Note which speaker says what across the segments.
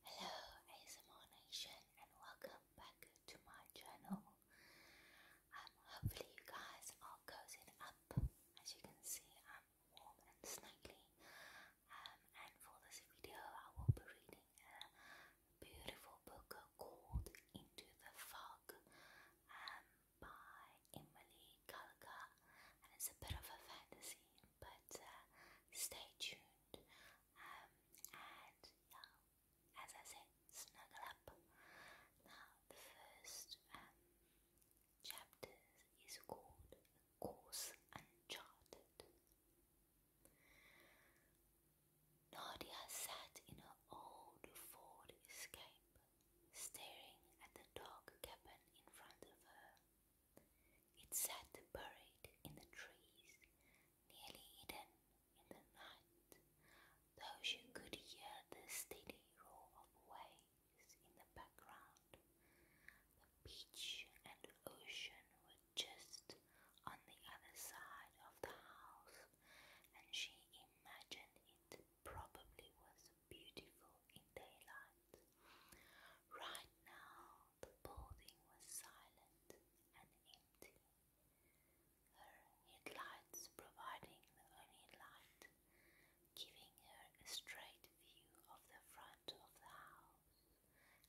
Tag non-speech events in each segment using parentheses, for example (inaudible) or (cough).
Speaker 1: Hello ASMR Nation and welcome back to my channel. Um, hopefully you guys are cozied up. As you can see I'm warm and snuggly um, and for this video I will be reading a beautiful book called Into the Fog um, by Emily Kalka and it's a bit of a fantasy but uh, stay tuned. Um, and yeah, as I said, snuggle up. the first um, chapter is called Course Uncharted. Nadia sat in her old Ford Escape, staring at the dark cabin in front of her. It sat buried in the trees, nearly hidden in the night, though she could hear the steady roar of waves in the background. The beach and ocean were just on the other side of the house, and she imagined it probably was beautiful in daylight. Right now, the building was silent and empty, her headlights providing the only light, giving her a straight view of the front of the house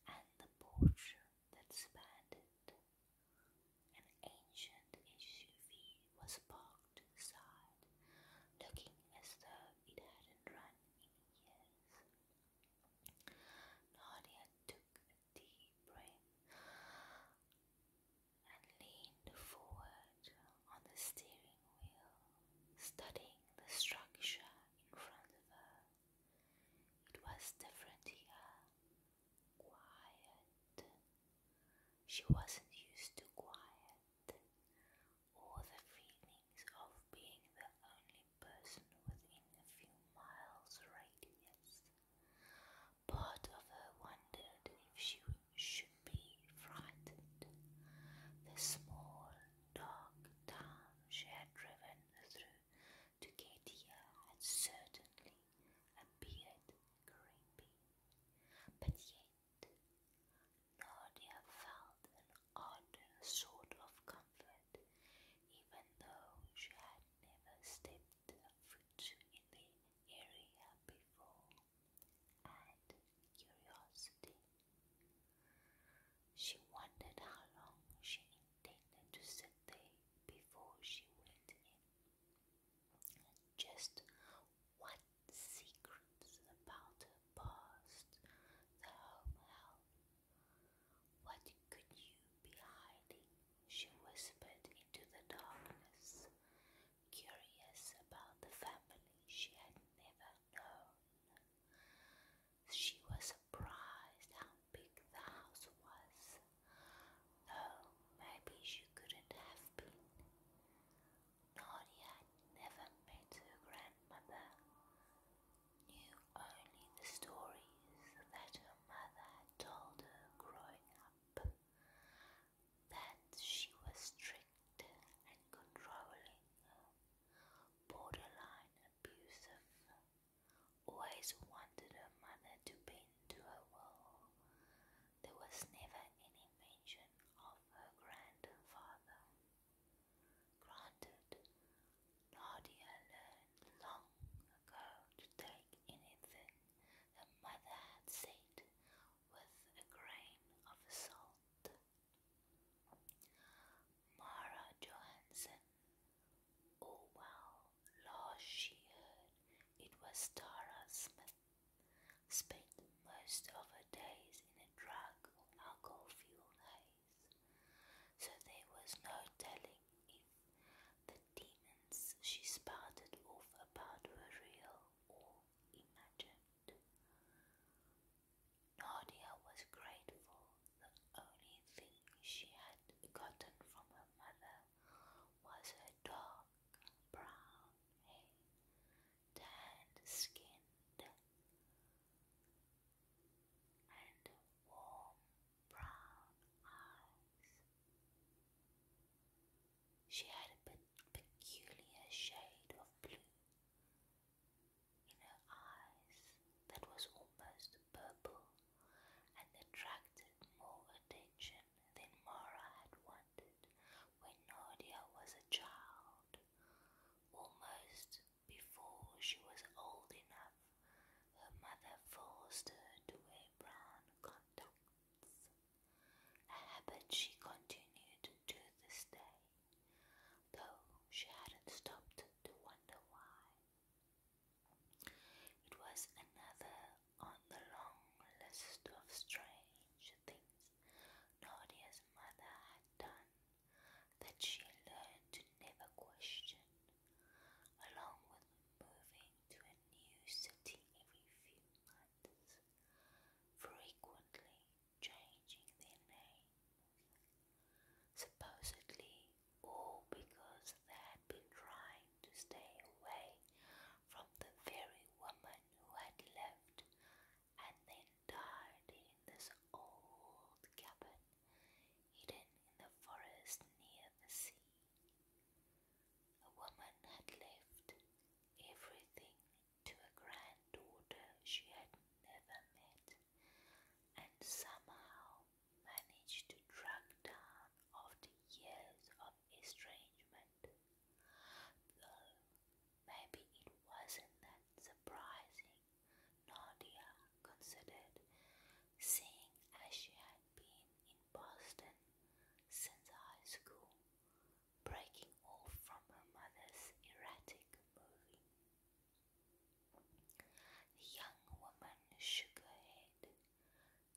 Speaker 1: and the porch that spanned it. An ancient SUV was parked aside, looking as though it hadn't run Nadia took a deep breath and leaned forward on the steering wheel, studying the structure in front of her. It was different here, quiet. She wasn't used to quiet or the feelings of being the only person within a few miles' radius. Part of her wondered if she should be frightened. The small, dark town she had driven through to get here had certainly appeared creepy, but yet Claudia felt an odd sort of comfort, even though she had never stepped a foot in the area before, and curiosity. She wondered how long she intended to sit there before she went in. Just what secrets about her past the home hell. What could you be hiding? She whispered into the darkness, curious about the family she had never known. She was surprised how big the house was, though maybe she couldn't have been. Nadia never met her grandmother, knew only the stories that her mother had told her growing up, that she was strict and controlling, borderline abusive, always wanted her mother to bend to her wall. There was never any mention of her grandfather. Granted, Nadia learned long ago to take anything her mother had said with a grain of salt. Mara Johansson, oh well, last she heard it was Tara Smith, spent most of her days in a drug or alcohol fueled haze so there was no telling if the demons she spouted off about were real or imagined. Nadia was grateful. The only thing she had gotten from her mother was her dark brown hair, tanned skinned and warm brown eyes. She had a peculiar shade of blue in her eyes that was almost purple and attracted more attention than Mara had wanted when Nadia was a child, almost before she was old enough, her mother forced her to wear brown a habit she continued to this day, though she hadn't stopped to wonder why. It was another on the long list of strange things Nadia's mother had done that she learned to never question, along with moving to a new city every few months, frequently changing their names. Supposedly, all because they had been trying to stay away from the very woman who had lived and then died in this old cabin hidden in the forest near the sea. A woman had left everything to a granddaughter she had never met, and somehow managed to track down after years of estrangement. Though maybe it wasn't that surprising Nadia considered, seeing as she had been in Boston since high school, breaking off from her mother's erratic moving. The young woman shook her head,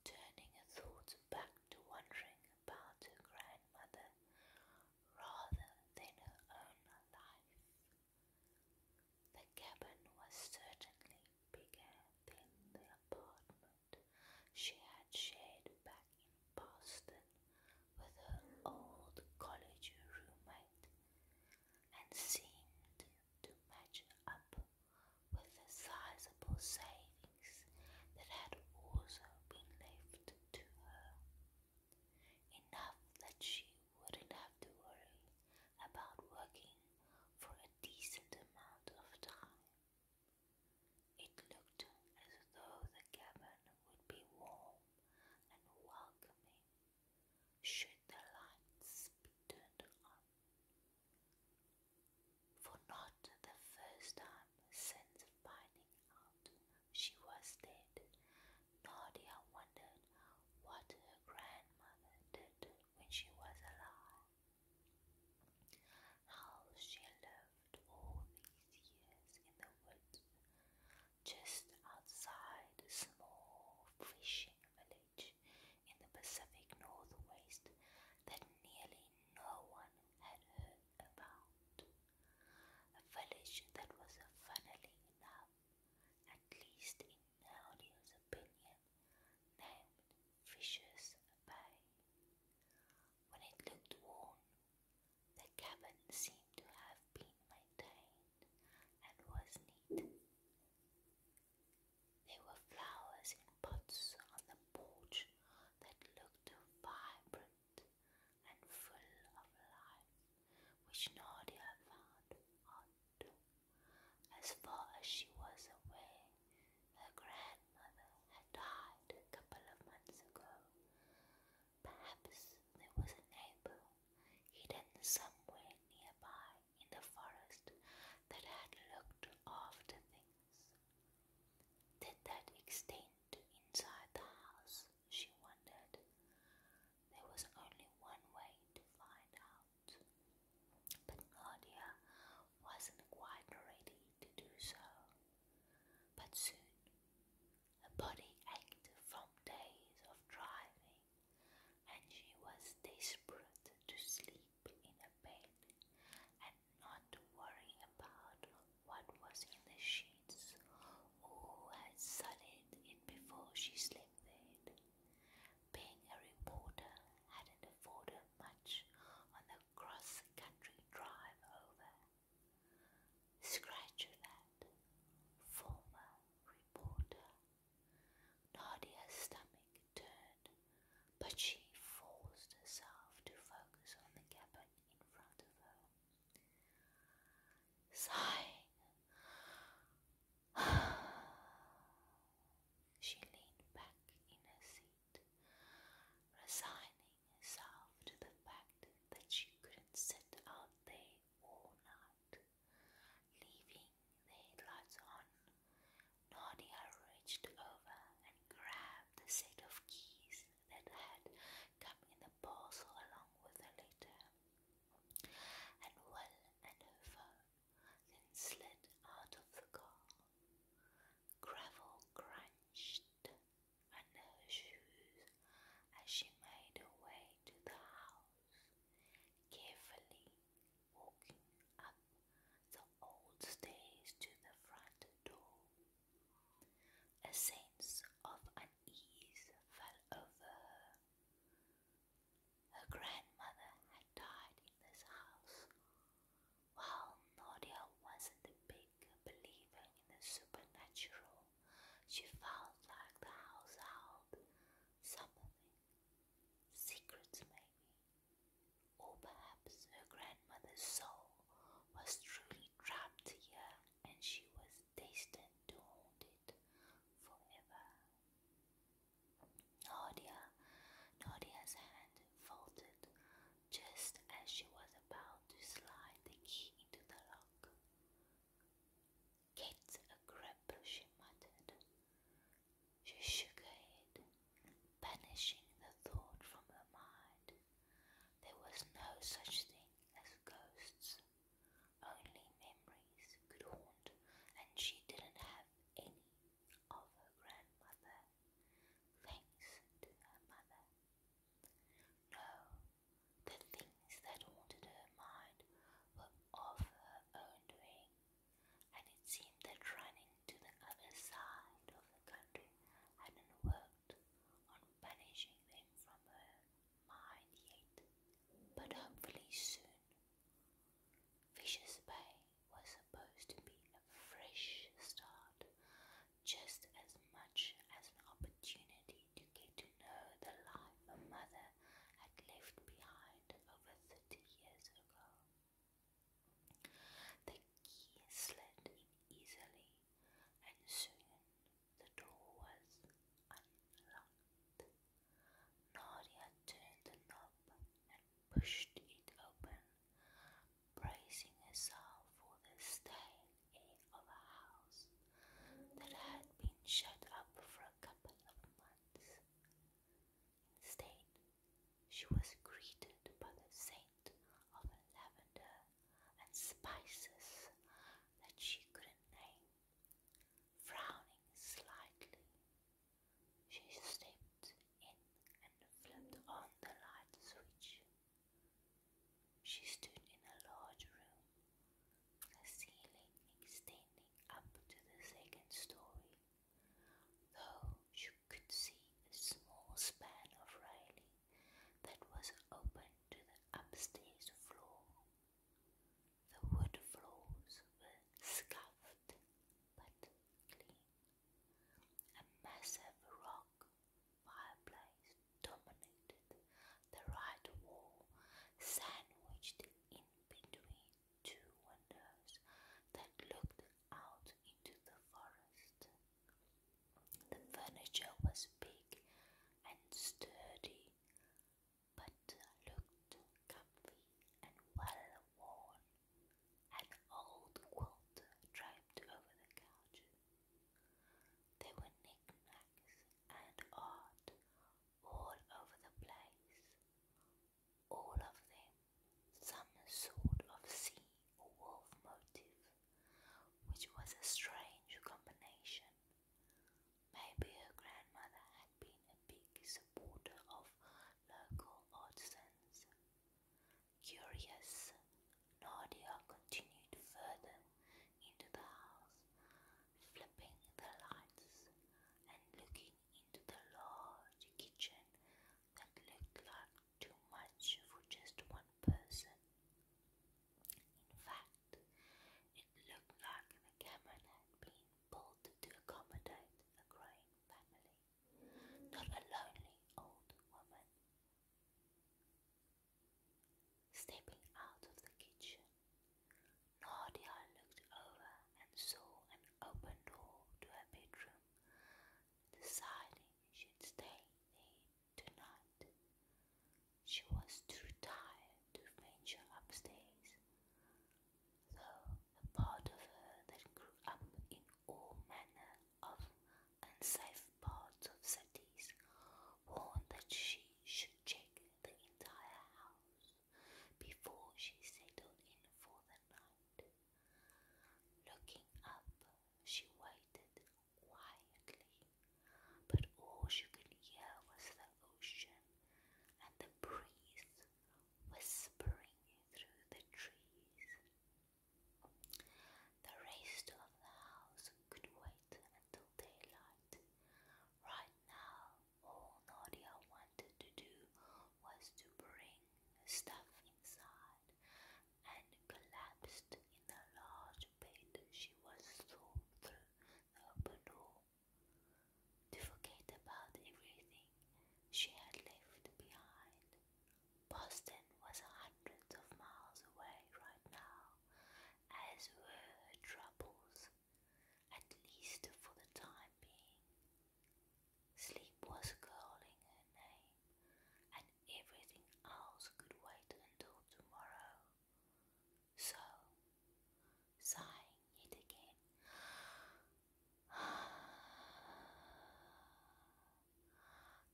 Speaker 1: turning her thoughts back to wondering about her grandmother rather than her own life. The cabin was certainly bigger than the apartment she had shared back in Boston with her old college roommate, and seemed to match up with the sizable savings that had also been left to her. Enough that she wouldn't have to worry about working for a decent amount of time. It looked as though the cabin would be warm and welcoming should the lights be turned on. For not the first time since finding out she was dead Nadia wondered what her grandmother did when she was alive, how she lived all these years in the woods just outside a small fishing village in the Pacific Northwest that nearly no one had heard about. A village that was funnily enough at least in Claudio's opinion, named Fisher's Bay. When it looked worn, the cabin seemed to have been maintained and was neat. There were flowers in pots on the porch that looked vibrant and full of life, which Nadia found odd. As far as she was away, her grandmother had died a couple of months ago. Perhaps there was a neighbor hidden somewhere nearby in the forest that had looked after things. Did that extend to inside the house? She wondered. There was only one way to find out, but Nadia wasn't quite ready to do so. But soon, her body ached from days of driving, and she was desperate to sleep in a bed and not to worry about what was in the sheets or had sunned it before she slept there. Being a reporter hadn't afforded much on the cross-country drive over. Scratch that, former reporter. Nadia's stomach turned, but she forced herself to focus on the cabin in front of her. Sighing, (sighs) she leaned back in her seat, resigning herself to the fact that she couldn't sit out there all night. Leaving the headlights on, Nadia reached over and grabbed the set of keys that had come in the parcel along with her letter and well and her then slid out of the car. Gravel crunched under her shoes as she made her way to the house, carefully walking up the old stairs to the front door. A sense of unease fell over her. Her grandmother had died in this house. While Nadia wasn't a big believer in the supernatural, she felt like the house held something. Secrets, maybe. Or perhaps her grandmother's soul was truly trapped here and she was destined to haunt it forever. Nadia, Nadia's hand folded, just as she was about to slide the key into the lock. Get a grip, she muttered. She shook her head, banishing the thought from her mind. There was no such thing as ghosts. Only memories could haunt, and she didn't have any of her grandmother, thanks to her mother. No, the things that haunted her mind were of her own doing, and it seemed that running to the other side of the country hadn't worked on banishing them from her mind yet, but hopefully soon Fisher's Bay was supposed to be a fresh start, just as much as an opportunity to get to know the life her mother had left behind over thirty years ago. The key slid in easily, and soon the door was unlocked. Nadia turned the knob and pushed it open, bracing herself for the stale of a house that had been shut up for a couple of months. Instead, she was greeted by the scent of lavender and spices that she couldn't name. Frowning slightly, she stepped in and flipped on the light switch. She stood in a large room, the ceiling extending up to the second story, though she could see a small span of railing that was open to the upstairs floor. The wood floors were scuffed but clean. A massive rock fireplace dominated the right wall, sandwiched in between two windows that looked out into the forest. The furniture was big and sturdy, but looked comfy and well worn. An old quilt draped over the couch. There were knickknacks and art all over the place. All of them some sort of sea wolf motif, which was a strange combination. Maybe her grandmother had been a big supporter of local artisans. Curious, Nadia continued further into the house, flipping the lights and looking into the large kitchen that looked like too much for just one person. In fact, it looked like the cabin had been built to accommodate a growing family, not a lonely old woman. Stepping out of the kitchen, Nadia looked over and saw an open door to her bedroom, deciding she'd stay there tonight. She was too tired to venture upstairs, though a part of her that grew up in all manner of unsafe parts of cities, warned that she should check the entire house before she settled in for the night. Looking up, she waited quietly, but all she could hear was the ocean and the breeze whispering through the trees. The rest of the house could wait until daylight. Right now, all Nadia wanted to do was to bring stuff inside and collapsed in the large bed she was thrown through the open to forget about everything she had left behind. Boston was hundreds of miles away right now, as were her troubles, at least for the time being. Sleep was calling her name, and everything else could wait until tomorrow. So, sighing yet again,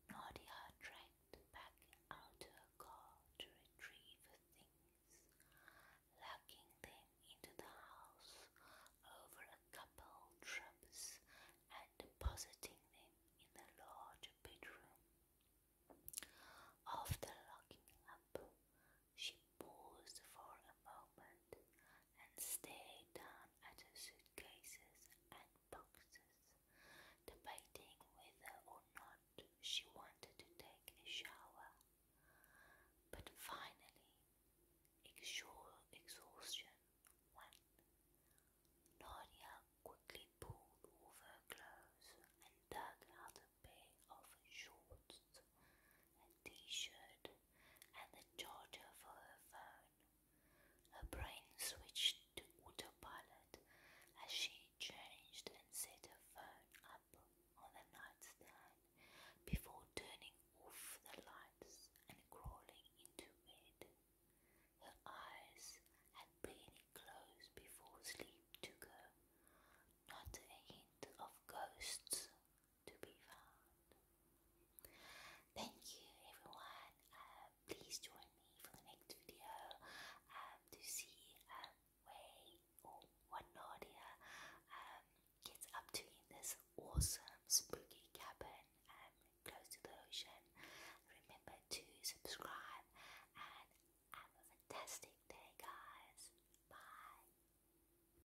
Speaker 1: Nadia (sighs) tracked back out to her car to retrieve her things, lugging them into the house over a couple trips and depositing them in the large bedroom. After locking up, she paused for a moment and stared down at her suitcases and boxes, debating whether or not she wanted to take a shower. But finally, exhaustion won. Nadia quickly pulled off her clothes and dug out a pair of shorts a t-shirt, and the charger for her phone. Her brain switched to autopilot as she changed and set her phone up on the nightstand before turning off the lights and crawling into bed. Her eyes had barely closed before sleep took her. Not a hint of ghosts to be found. Thank you everyone. Um, please join me for the next video um, to see um, where or Nadia gets up to in this awesome spooky cabin close to the ocean. Remember to subscribe and have a fantastic day guys. Bye.